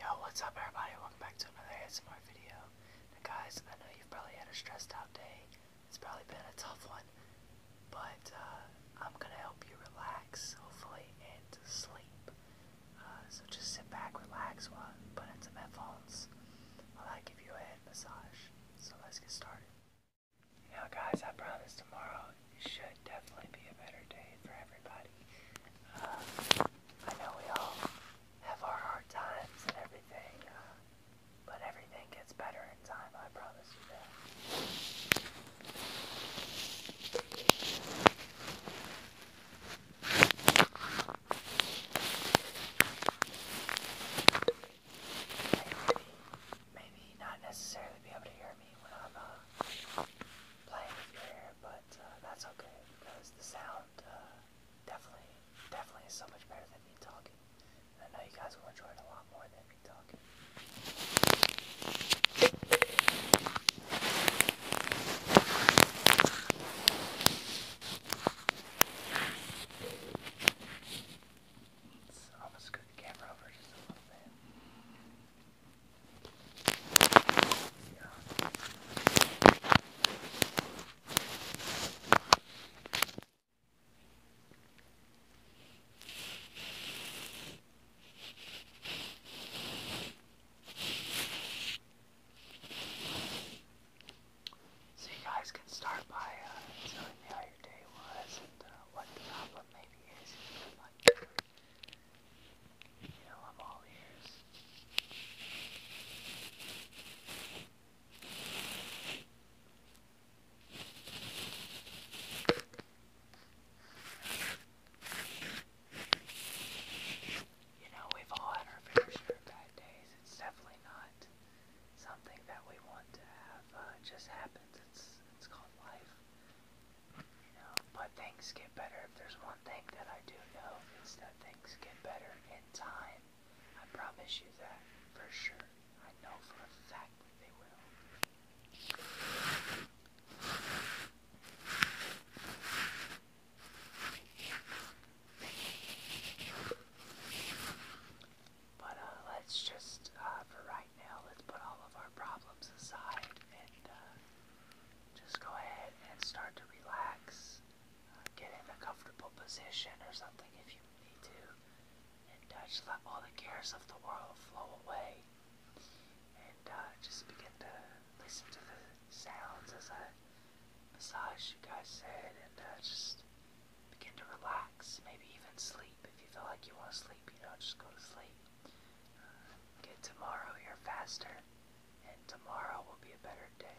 Yo, what's up everybody? Welcome back to another ASMR video. guys, I know you've probably had a stressed out day. It's probably been a tough one. But uh, I'm going to help you relax, hopefully, and sleep. Uh, so just sit back, relax, while I some headphones. While I give you a head massage. So let's get started. You guys, I promise tomorrow it should definitely be a better day for everybody. Uh, I know we all have our hard times and everything, uh, but everything gets better in time, I promise you that. maybe not necessarily be able to hear I uh, playing with your hair, but uh, that's okay because the sound uh, definitely, definitely is so much better than me talking. I know you guys will enjoy it a lot more than me talking. Let's almost the camera over just a little bit. So you guys can start by uh, telling me how your day was and uh, what the problem may you know, we've all had our fair share of bad days. It's definitely not something that we want to have uh, just happens. It's it's called life. You know, but things get better. If there's one thing that I do know, it's that things get better in time. I promise you that for sure. I know for a fact that they will. But uh, let's just, uh, for right now, let's put all of our problems aside and uh, just go ahead and start to relax. Uh, get in a comfortable position or something if you need to. And uh, just let all the cares of the world flow away. And uh, just begin to listen to the sounds as I massage you guys' head and uh, just begin to relax, maybe even sleep. If you feel like you want to sleep, you know, just go to sleep. Uh, get tomorrow you're faster, and tomorrow will be a better day.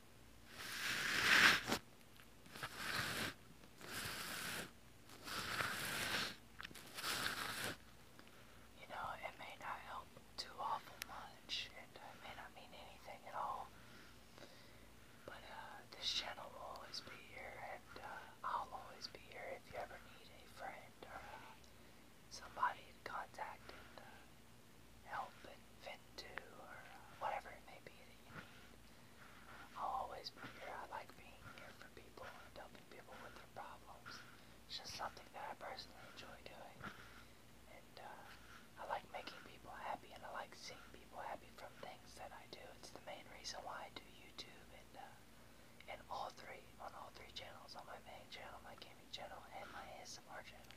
You know, it may not help too awful much, and I may not mean anything at all. But uh, this channel will always be here, and uh, I'll always be here if you ever need a friend uh, somebody had contacted uh, help at Ventu or uh, whatever it may be that you need. I'll always be here. I like being here for people and helping people with their problems. It's just something that I personally enjoy doing. And uh, I like making people happy and I like seeing people happy from things that I do. It's the main reason why I do YouTube and, uh, and all three, on all three channels, on my main channel, my gaming channel and my ASMR channel.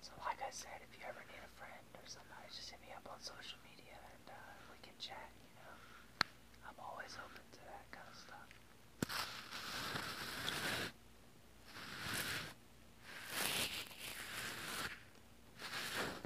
So like I said, if you ever need a friend or somebody, just hit me up on social media and uh, we can chat, you know. I'm always open to that kind of stuff.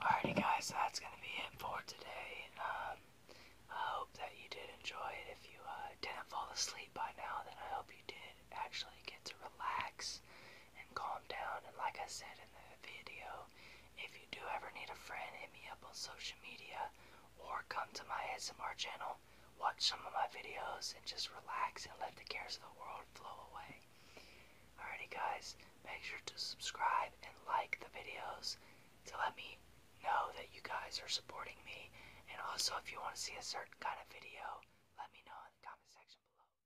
Alrighty guys, that's gonna be it for today. Um, I hope that you did enjoy it. If you uh, didn't fall asleep by now, then I hope you did actually get to relax and calm down. And like I said in the video, if you do ever need a friend, hit me up on social media or come to my S M R channel, watch some of my videos, and just relax and let the cares of the world flow away. Alrighty, guys, make sure to subscribe and like the videos to let me know that you guys are supporting me. And also, if you want to see a certain kind of video, let me know in the comment section below.